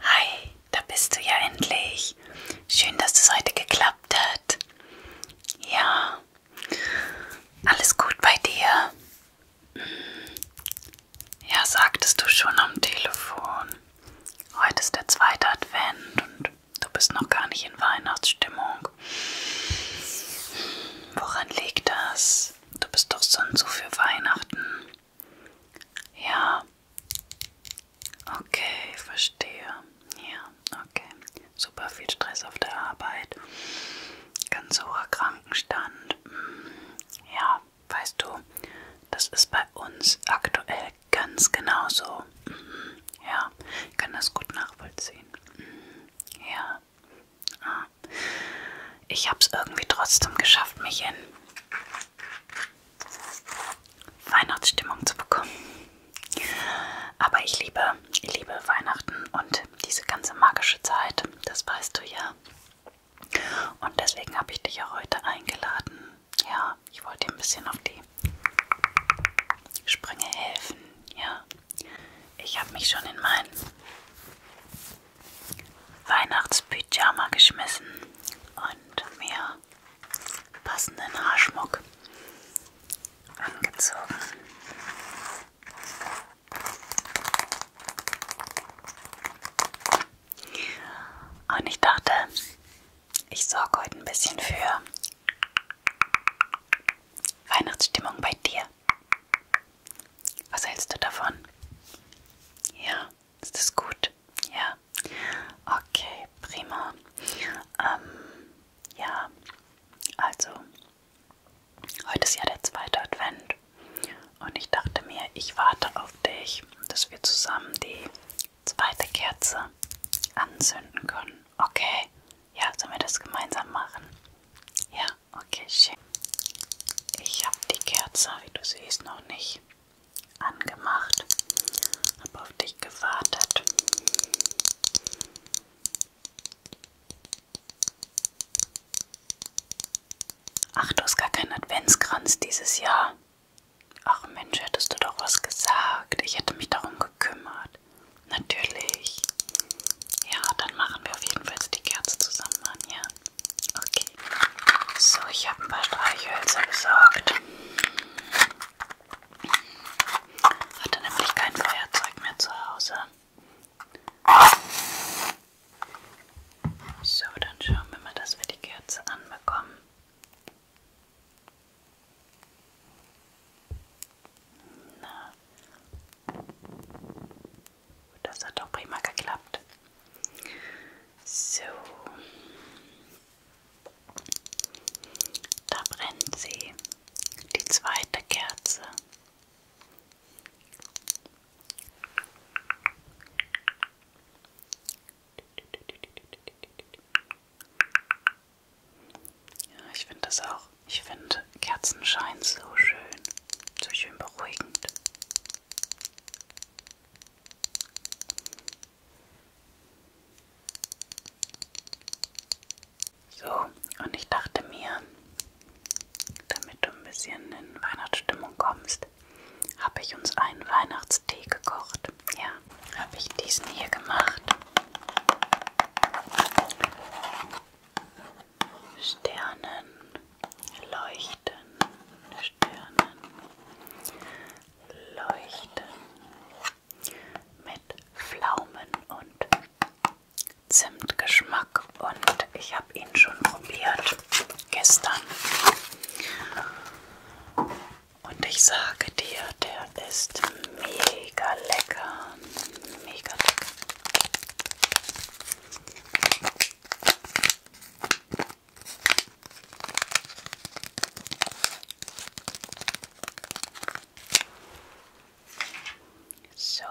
Hi, da bist du ja endlich. Schön, dass es das heute geklappt hat. Ja, alles gut bei dir? Hm. Ja, sagtest du schon am Telefon. Heute ist der zweite Advent und du bist noch gar nicht in Weihnachtsstimmung. Woran liegt das? Du bist doch sonst so für Weihnachten. Ja. Okay, verstehe. Ja, okay. Super viel Stress auf der Arbeit. Ganz hoher Krankenstand. Hm, ja, weißt du, das ist bei uns aktuell ganz genauso. Hm, ja, ich kann das gut nachvollziehen. Hm, ja. Ah. Ich habe es irgendwie trotzdem geschafft, mich in Weihnachtsstimmung zu bekommen. Aber ich liebe, ich liebe Weihnachten und diese ganze magische Zeit, das weißt du ja. Und deswegen habe ich dich ja heute eingeladen. Ja, ich wollte dir ein bisschen auf die Sprünge helfen. Ja, ich habe mich schon in meinen Weihnachtsbüchern Pyjama geschmissen und mir passenden Haarschmuck angezogen. Und ich dachte, ich sorge heute ein bisschen für Weihnachtsstimmung bei dir. Was hältst du davon? Ja. Ist das gut? Ja. Okay, prima. Ähm, ja, also, heute ist ja der zweite Advent und ich dachte mir, ich warte auf dich, dass wir zusammen die zweite Kerze anzünden können. Okay, ja, sollen wir das gemeinsam machen? Ja, okay, schön. Ich habe die Kerze, wie du siehst, noch nicht angemacht, habe auf dich gewartet. Ach, du hast gar keinen Adventskranz dieses Jahr. Ach Mensch, hättest du doch was gesagt. Ich hätte mich darum gekümmert. Natürlich. Ja, dann machen wir auf jeden Fall die Kerze zusammen an, ja? Okay. So, ich habe ein paar Streichhölzer besorgt. Hatte nämlich kein Feuerzeug mehr zu Hause. So, dann schauen wir mal, dass wir die Kerze anbekommen. Na. Das hat doch prima geklappt. So. Da brennt sie, die zweite Kerze. Ja, ich finde das auch. Ich finde Kerzenschein so schön, so schön beruhigend. So, und ich dachte mir, damit du ein bisschen in Weihnachtsstimmung kommst, habe ich uns einen Weihnachtstee gekocht. Ja, habe ich diesen hier gemacht. Sternen, leuchten Stirnen, leuchten mit Pflaumen und Zimtgeschmack und ich habe ihn schon probiert gestern. Und ich sage dir, der ist mega lecker. Mega lecker. So,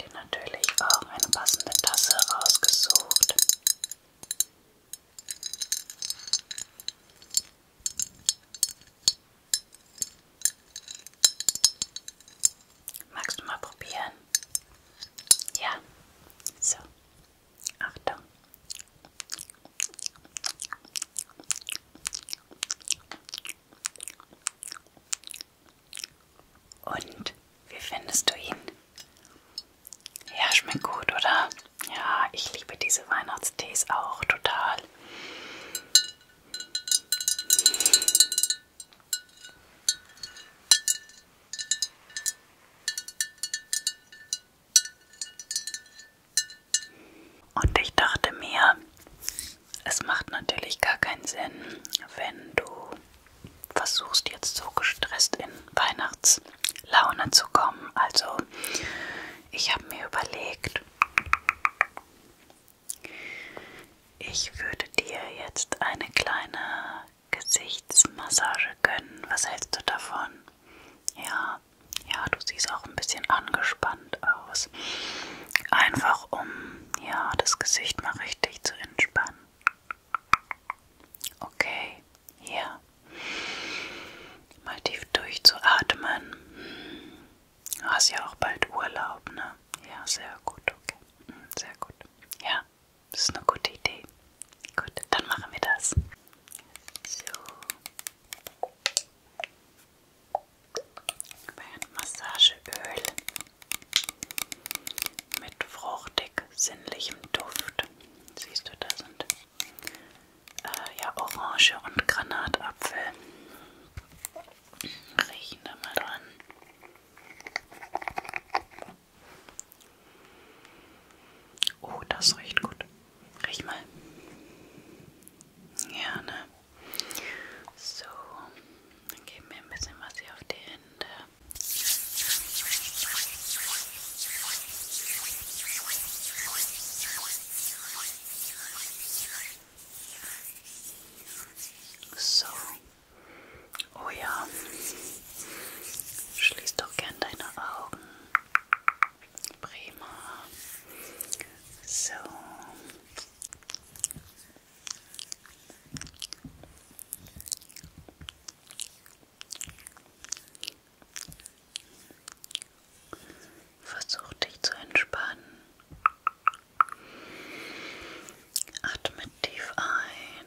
dir natürlich auch eine passende Tasse rausgesucht. Magst du mal probieren? Ja, so. Achtung. Und wie findest du ihn? Ja, schmeckt gut, oder? Ja, ich liebe diese Weihnachtstees auch total. Und ich dachte mir, es macht natürlich gar keinen Sinn, wenn du versuchst jetzt so gestresst in Weihnachtslaune zu kommen. Also ich habe mir überlegt, ich würde dir jetzt eine kleine Gesichtsmassage gönnen. Was hältst du davon? Ja, ja, du siehst auch ein bisschen angespannt aus. Einfach um, ja, das Gesicht mal richtig zu entspannen. Okay, hier. Mal tief durchzuatmen. Hm. Du hast ja auch bald Urlaub, ne? Ja, sehr gut, okay. Hm, sehr gut. Ja. Das ist eine gute Idee. Gut, dann machen wir das. So. Massageöl mit fruchtig sinnlichem Duft. Siehst du, da sind äh, ja Orange und Granatapfel. Riechen da mal dran. Oh, das riecht gut. Riech mal. Ja, ne? So, dann geben wir ein bisschen was hier auf die Hände. So, Oh ja, schließ doch gern deine Augen. Prima. So. Versuch dich zu entspannen. Atme tief ein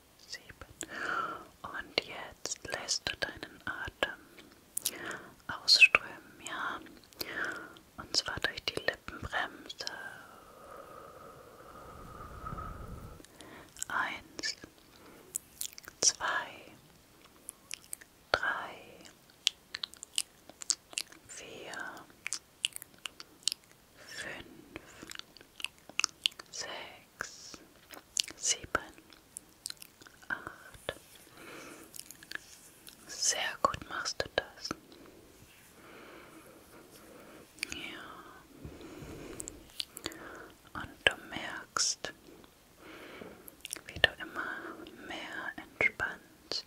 sieben. Und jetzt lässt du deinen Atem ausströmen, ja. Und zwar durch die Lippenbremse. Eins, zwei, drei, vier, fünf, sechs, sieben, acht. Sehr gut machst du das. Ja. Und du merkst, wie du immer mehr entspannst.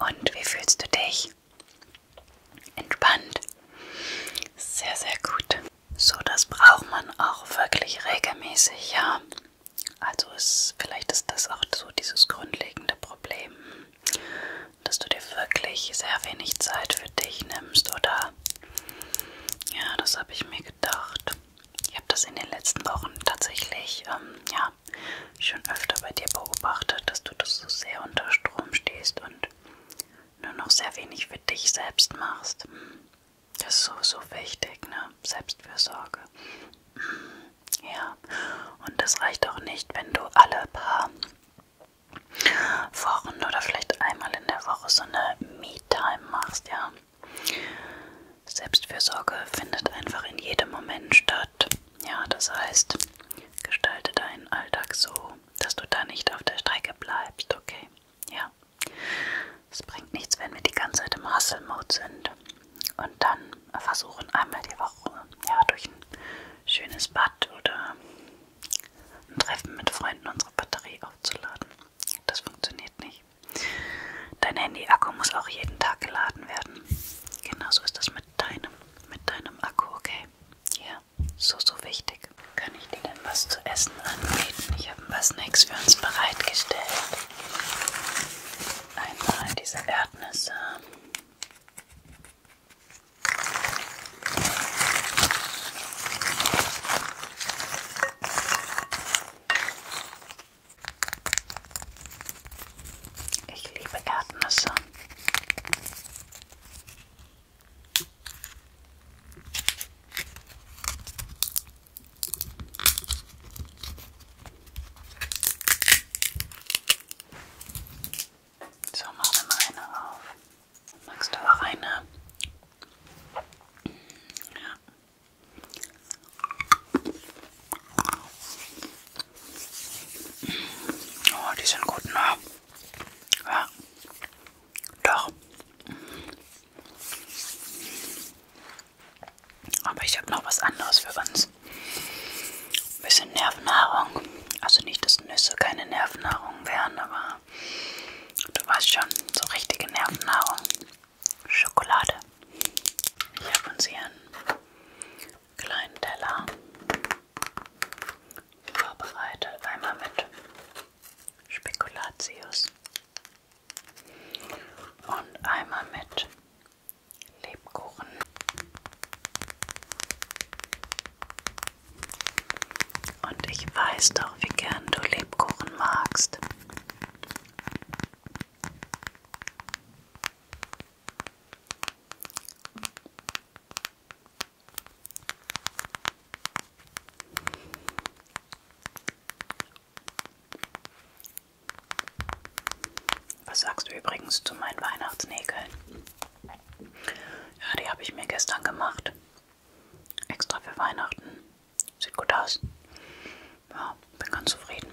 Und wie fühlst du dich? ruhig, entspannt. Sehr, sehr gut. So, das braucht man auch wirklich regelmäßig, ja. Also ist, vielleicht ist das auch so dieses grundlegende Problem, dass du dir wirklich sehr wenig Zeit für dich nimmst, oder? Ja, das habe ich mir gedacht. Ich habe das in den letzten Wochen tatsächlich, ähm, ja, schon öfter bei dir beobachtet, dass du das so sehr unter Strom stehst und und nur noch sehr wenig für dich selbst machst. Das ist so, so wichtig, ne? Selbstfürsorge. Ja, und das reicht auch nicht, wenn du alle paar Wochen oder vielleicht einmal in der Woche so eine Me-Time machst, ja. Selbstfürsorge findet einfach in jedem Moment statt. Ja, das heißt, gestalte deinen Alltag so, dass du da nicht auf der Strecke bleibst, okay? Ja. Es bringt nichts, wenn wir die ganze Zeit im Hustle-Mode sind und dann versuchen, einmal die Woche ja, durch ein schönes Bad oder ein Treffen mit Freunden unsere Batterie aufzuladen. Das funktioniert nicht. Dein Handy-Akku muss auch jeden Tag geladen werden. Genauso ist das mit deinem, mit deinem Akku, okay? dabei. Ja, so, so wichtig. Kann ich dir denn was zu essen anbieten? Ich habe ein paar Snacks für uns bereitgestellt. Einmal diese Erdnüsse. Ich liebe Erdnüsse. So, machen wir mal eine auf. Magst du auch eine? Ja. Oh, die sind gut, ne? Ja. Doch. Aber ich habe noch was anderes für uns. Ein bisschen Nervennahrung. Also nicht, dass Nüsse keine Nervennahrung wären, aber du weißt schon, so richtige Nervennahrung. Schokolade. Ich habe uns hier einen kleinen Teller vorbereitet. Einmal mit Spekulatius und einmal mit Lebkuchen. Und ich weiß doch, wie gern du Lebkuchen magst. Was sagst du übrigens zu meinen Weihnachtsnägeln? Ja, die habe ich mir gestern gemacht. Extra für Weihnachten. Sieht gut aus. Ja, bin ganz zufrieden.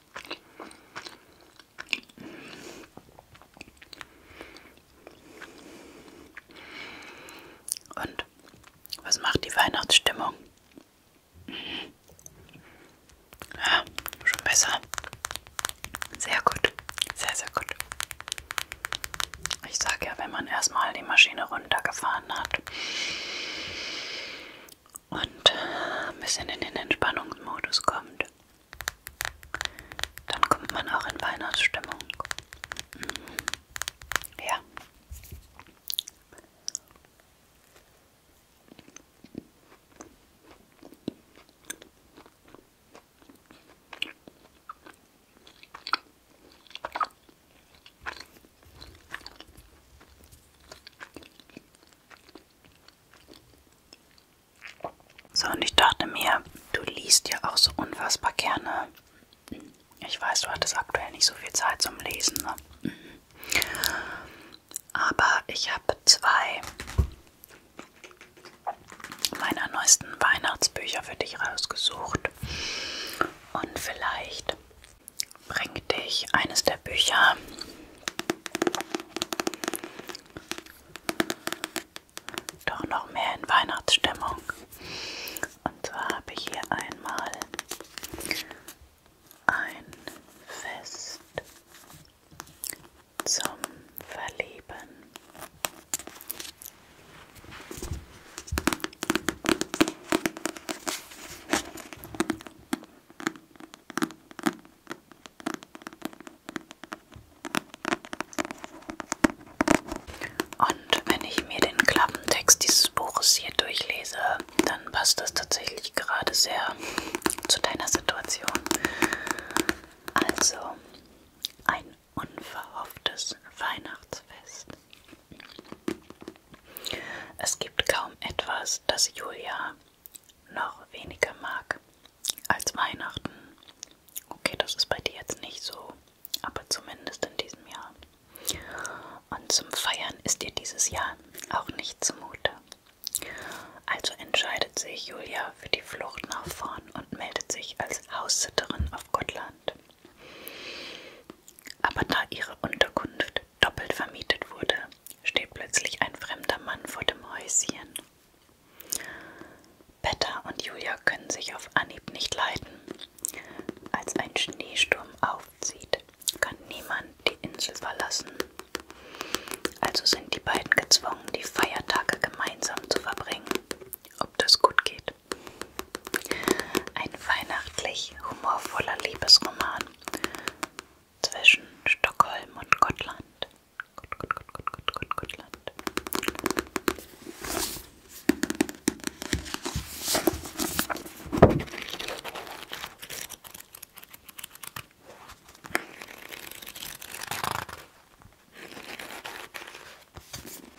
Und was macht die Weihnachtsstimmung? Ja, schon besser. Sehr gut. Sehr, sehr gut. Ich sage ja, wenn man erstmal die Maschine runtergefahren hat und ein bisschen in den Entspannungsmodus kommt, dann kommt man auch in Weihnachtsstimmung. Mhm. Ja. So, und ich dachte mir, du liest ja auch so unfassbar gerne. Ich weiß, du hattest aktuell nicht so viel Zeit zum Lesen. Ne? Aber ich habe zwei meiner neuesten Weihnachtsbücher für dich rausgesucht. Und vielleicht bringt dich eines der Bücher doch noch mehr in Weihnachtsstimmung. Und zwar habe ich hier einmal ein Fest zum Verlieben. Und wenn ich mir den Klappentext dieses Buches hier durchlese, dann passt das tatsächlich gerade sehr zu deiner Situation. Also ein unverhofftes Weihnachtsfest. Es gibt kaum etwas, das Julia noch weniger mag als Weihnachten. Okay, das ist bei dir jetzt nicht so, aber zumindest in diesem Jahr. Und zum Feiern ist dir dieses Jahr auch nicht zumute. Also entscheidet sich Julia für die Flucht nach vorn und meldet sich als Haussitterin auf Gottland. Aber da ihre Unterkunft doppelt vermietet wurde, steht plötzlich ein fremder Mann vor dem Häuschen. Betta und Julia können sich auf Anhieb nicht leiten. Als ein Schneesturm aufzieht, kann niemand die Insel verlassen. Also sind die beiden gezwungen, die Feiertage gemeinsam zu verbringen. Ob das gut geht? Ein weihnachtlich humorvoller Liebesroman zwischen Stockholm und Gottland. Gut, gut, gut, gut, gut, gut, gut, Land.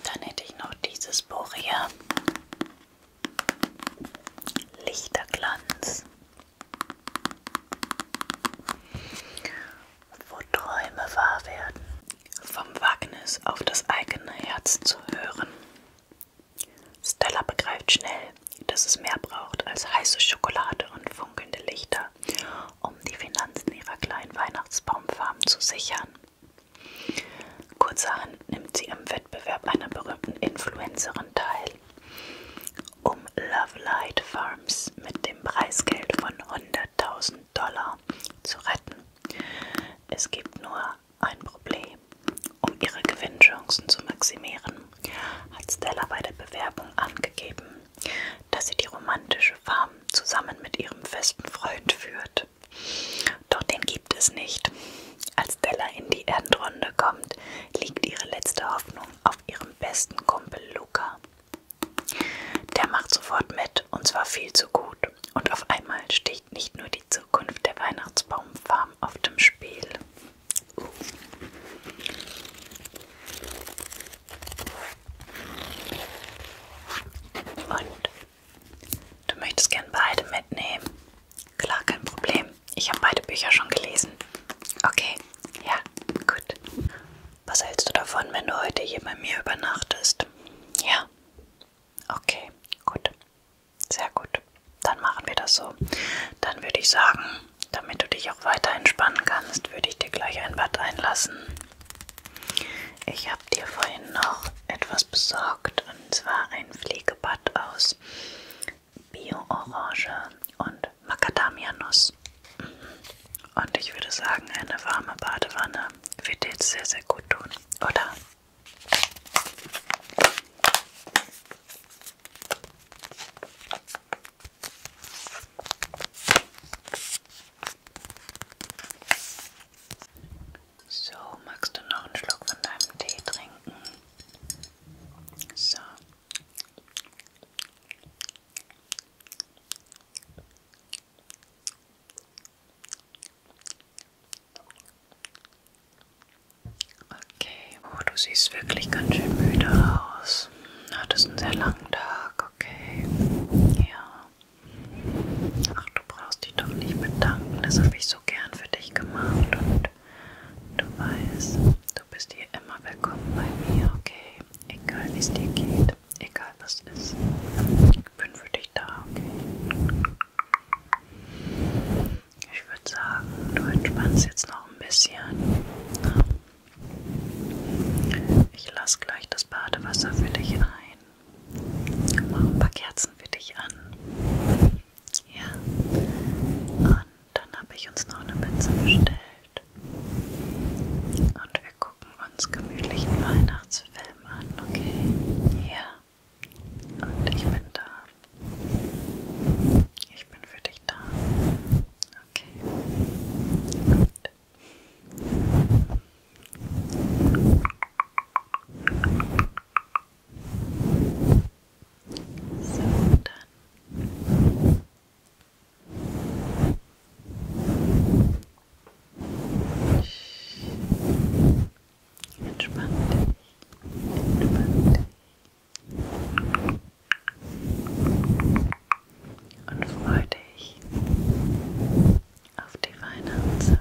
Dann hätte ich noch dieses Buch hier. Lichterglanz wo Träume wahr werden. Vom Wagnis auf das eigene Herz zu hören. Stella begreift schnell, dass es mehr braucht als heiße Schokolade und funkelnde Lichter, um die Finanzen ihrer kleinen Weihnachtsbaumfarm zu sichern. Kurzerhand nimmt sie im Wettbewerb einer berühmten Influencerin teil um Love Light Farms mit dem Preisgeld von 100.000 Dollar zu retten. Es gibt nur ein Problem. Um ihre Gewinnchancen zu maximieren, hat Stella bei der Bewerbung angegeben, dass sie die romantische Farm zusammen mit ihrem festen Freund führt. Doch den gibt es nicht. Als Stella in die Endrunde kommt, liegt ihre letzte Hoffnung auf ihrem besten Kumpel Luca, der macht sofort mit und zwar viel zu gut. Und auf einmal steht nicht nur die Zukunft der Weihnachtsbaumfarm auf dem Spiel. Uh. Und du möchtest gern beide mitnehmen. Klar, kein Problem. Ich habe beide Bücher schon gelesen. Okay, ja, gut. Was hältst du davon, wenn du heute hier bei mir übernachtest? Ja. Okay, gut. Sehr gut. Dann machen wir das so. Dann würde ich sagen, damit du dich auch weiter entspannen kannst, würde ich dir gleich ein Bad einlassen. Ich habe dir vorhin noch etwas besorgt, und zwar ein Pflegebad aus Bio-Orange und mit Macadamianuss. Mhm. Und ich würde sagen, eine warme Badewanne wird dir jetzt sehr, sehr gut tun, oder? So, magst du noch einen Schluck von deinem Tee trinken? So. Okay, oh, du siehst wirklich ganz schön müde aus. Du hattest einen sehr langen Tag, okay. Ja. Ach, du brauchst dich doch nicht bedanken. Das habe ich so gern für dich gemacht. Und du weißt, Du bist hier immer willkommen bei mir, okay? Egal wie es dir geht, egal was ist. Ich bin für dich da, okay? Ich würde sagen, du entspannst jetzt noch ein bisschen. Ne? Ich lasse gleich das Badewasser für dich ein. Mach ein paar Kerzen für dich an. Ja. Und dann habe ich uns noch eine Pizza bestellt. Duft. Und wir gucken uns gemütlichen Weihnachtsfilm an, okay? Ja. Und ich bin da. Ich bin für dich da. Okay. Gut. So, dann Entspann dich. Entspann dich. Und freu dich auf die Weihnachtszeit.